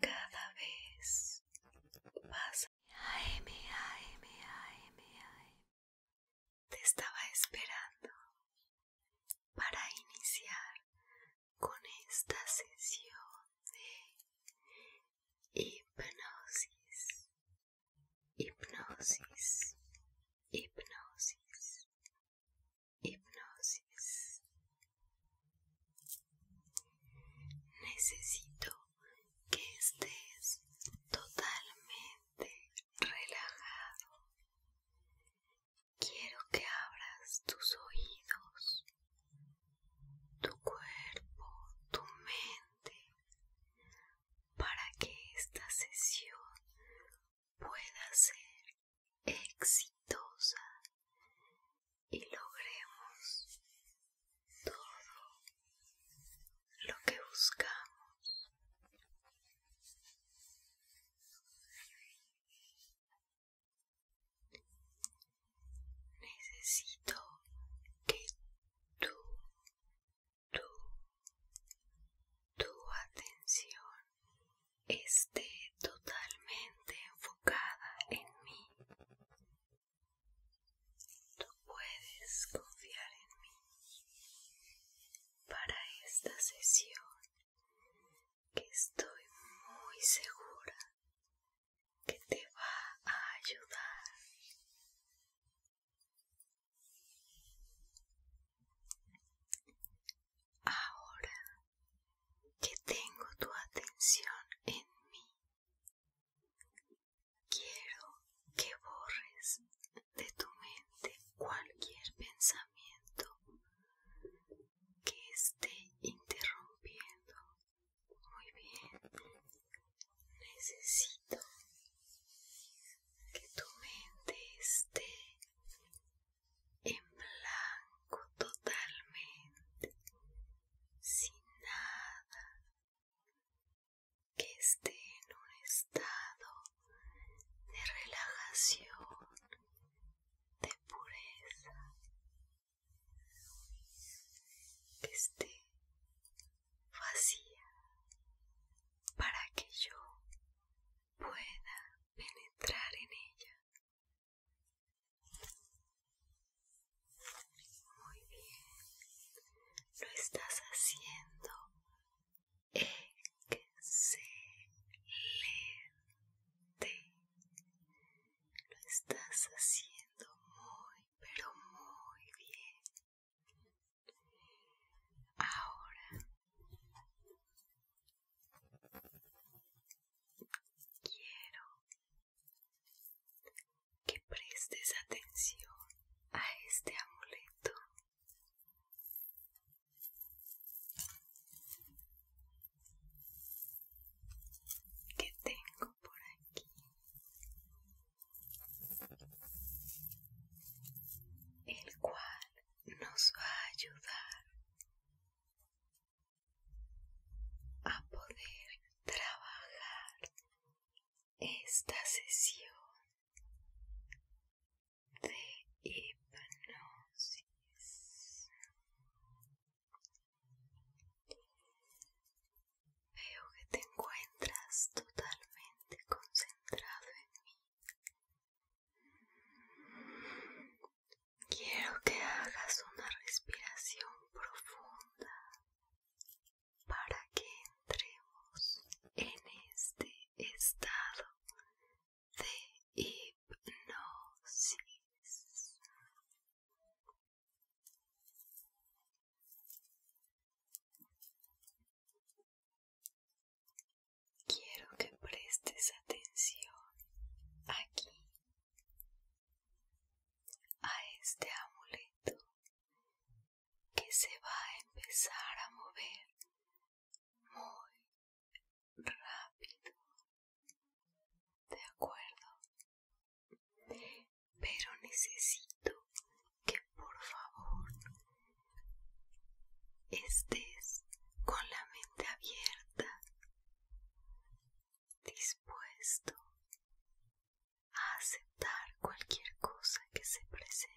Cada vez más. Te estaba esperando para iniciar con esta sesión de hipnosis, hipnosis, hipnosis, hipnosis. Necesito que estés totalmente relajado. Quiero que abras tus oídos, tu cuerpo, tu mente, para que esta sesión pueda ser exitosa y logremos todo lo que buscamos. Necesito que tú, tú, tu atención esté totalmente enfocada en mí. Tú puedes confiar en mí para esta sesión que estoy muy segura que te va a ayudar. Ahora que tengo tu atención en mí, quiero que borres de tu mente cualquier pensamiento que esté interrumpiendo. Muy bien, necesito que tu mente esté en blanco totalmente, sin nada, que esté en un estado de relajación, de pureza, que esté vacía para que yo pueda penetrar en ella muy bien, lo estás haciendo excelente. Lo estás haciendo muy, pero muy bien. Ahora Quiero que prestes atención a este amuleto. Que tengo por aquí. El cual nos va a ayudar a poder trabajar esta sesión de hipnosis. Veo que te encuentras totalmente concentrado en mí. Quiero que hagas una respiración profunda para que entremos en este estado de hipnosis. Quiero que prestes atención aquí a este amuleto que se va a empezar a mover muy rápido. ¿De acuerdo? Pero necesito que por favor estés con la mente abierta, dispuesto a aceptar cualquier cosa que se presente.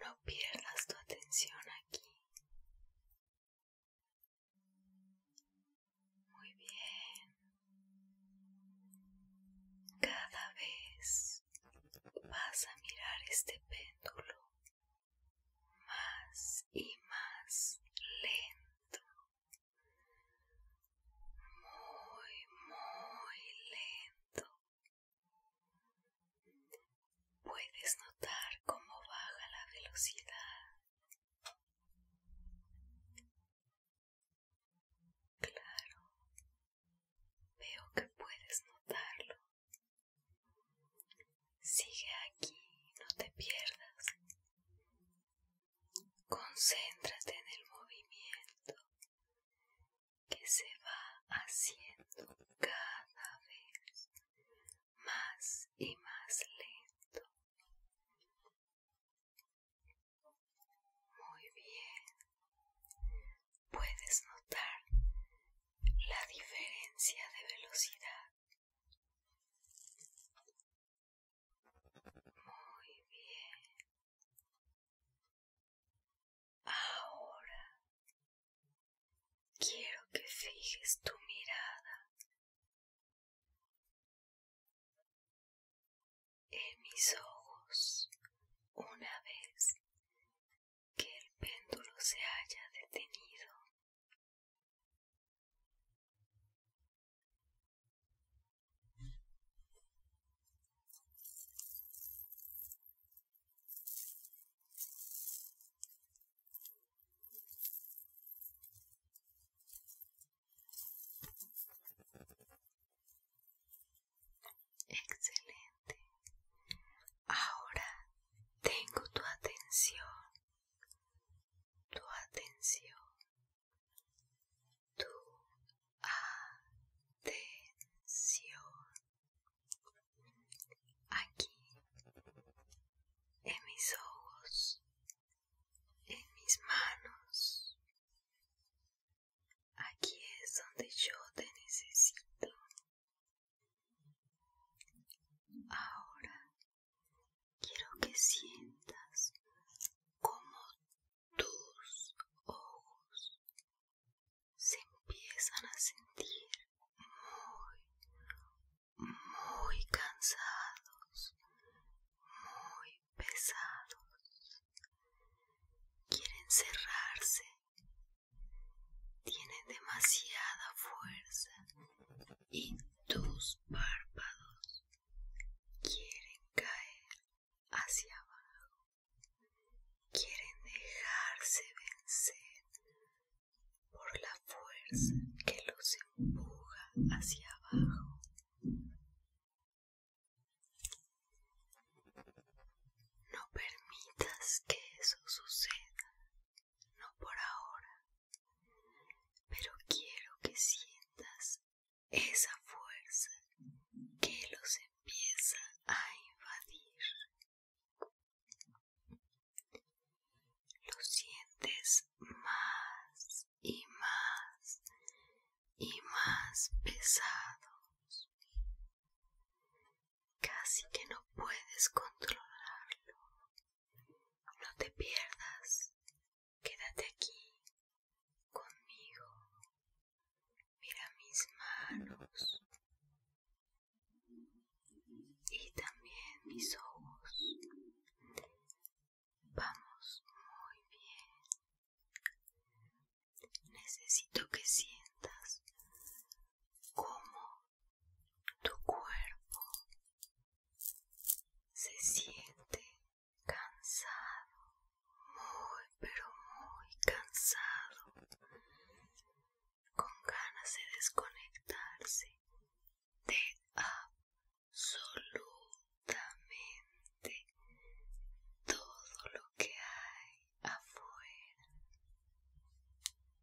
No pierdas tu atención aquí. Muy bien. Cada vez vas a mirar este péndulo más y más lento. Muy, muy lento. Puedes notar cómo baja la velocidad. Claro, veo que puedes notarlo. Sigue aquí, no te pierdas. Concéntrate en el movimiento que se va haciendo cada vez más y más lento. Muy bien. Puedes notar la diferencia de velocidad. Muy bien. Ahora quiero que fijes tu mirada en mis ojos una vez que el péndulo se haya detenido. Excelente. Ahora tengo tu atención, tu atención, tu atención aquí en mis ojos, en mis manos. Aquí es donde yo te necesito. Ahora quiero que sientas como tus ojos se empiezan a sentir muy, muy cansados, muy pesados. Quieren cerrarse. Tienen demasiada fuerza y tus párpados quieren caer hacia abajo quieren dejarse vencer por la fuerza que los empuja hacia abajo. No permitas que eso suceda, no por ahora, pero quiero que sientas esa fuerza que los empieza a invadir. Lo sientes más y más y más pesados. Casi que no puedes controlarlo. No te pierdas. Quédate aquí conmigo. Mira mis manos y también mis ojos. Vamos muy bien. Necesito que sientas cómo tu cuerpo se siente cansado, muy pero muy cansado con ganas de desconectarse de absolutamente todo lo que hay afuera.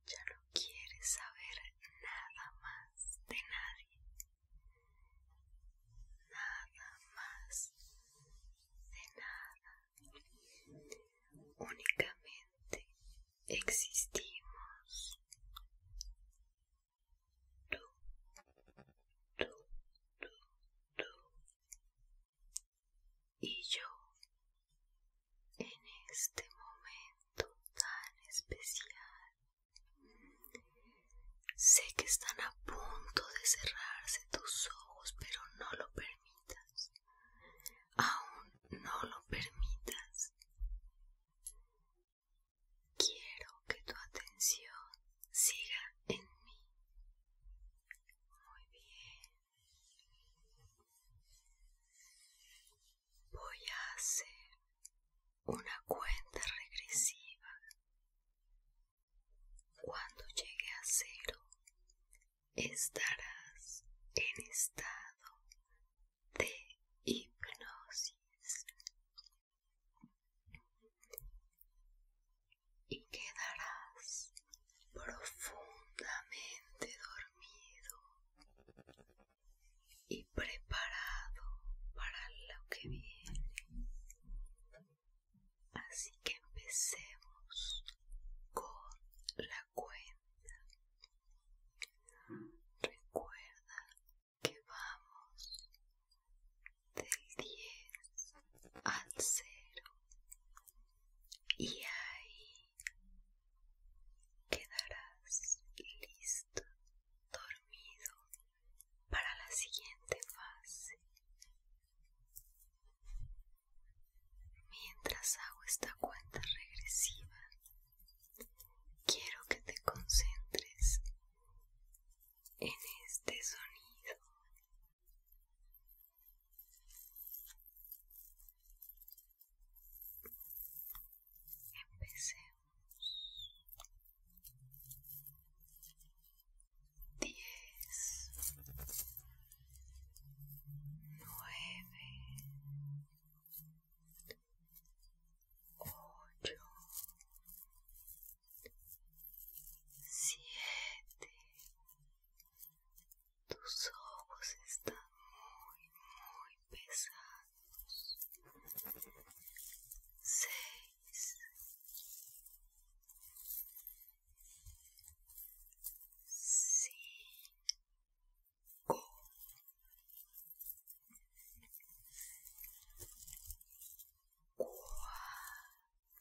Ya no quiere saber nada más de nadie. Nada más de nada. Únicamente existimos. Tú, tú, tú, tú y yo en este momento tan especial. Sé que están a punto de cerrarse tus ojos, pero no lo permitas aún no lo permitas. Quiero que tu atención siga en mí. Muy bien. Voy a hacer una cuenta regresiva. Cuando llegue a cero, estarás en estado de hipnosis y quedarás profundamente dormido y preparado para lo que viene. Así que empecemos con la cuenta. Recuerda que vamos del 10 al 0 y ahí quedarás listo, dormido para la siguiente fase. Mientras hago esta cuenta regresiva, quiero que te concentres en este sonido. Empecemos. 10 9 8 7 tus ojos están muy muy pesados 6 cinco,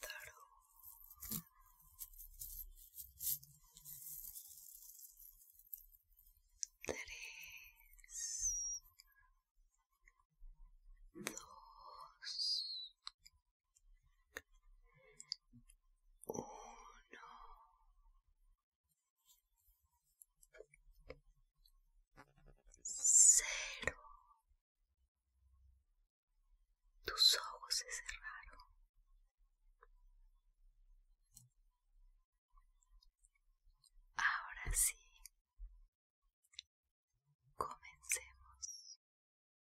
cuatro, tres, dos, uno. Cero. Tus ojos se cerraron. Ahora sí. Comencemos.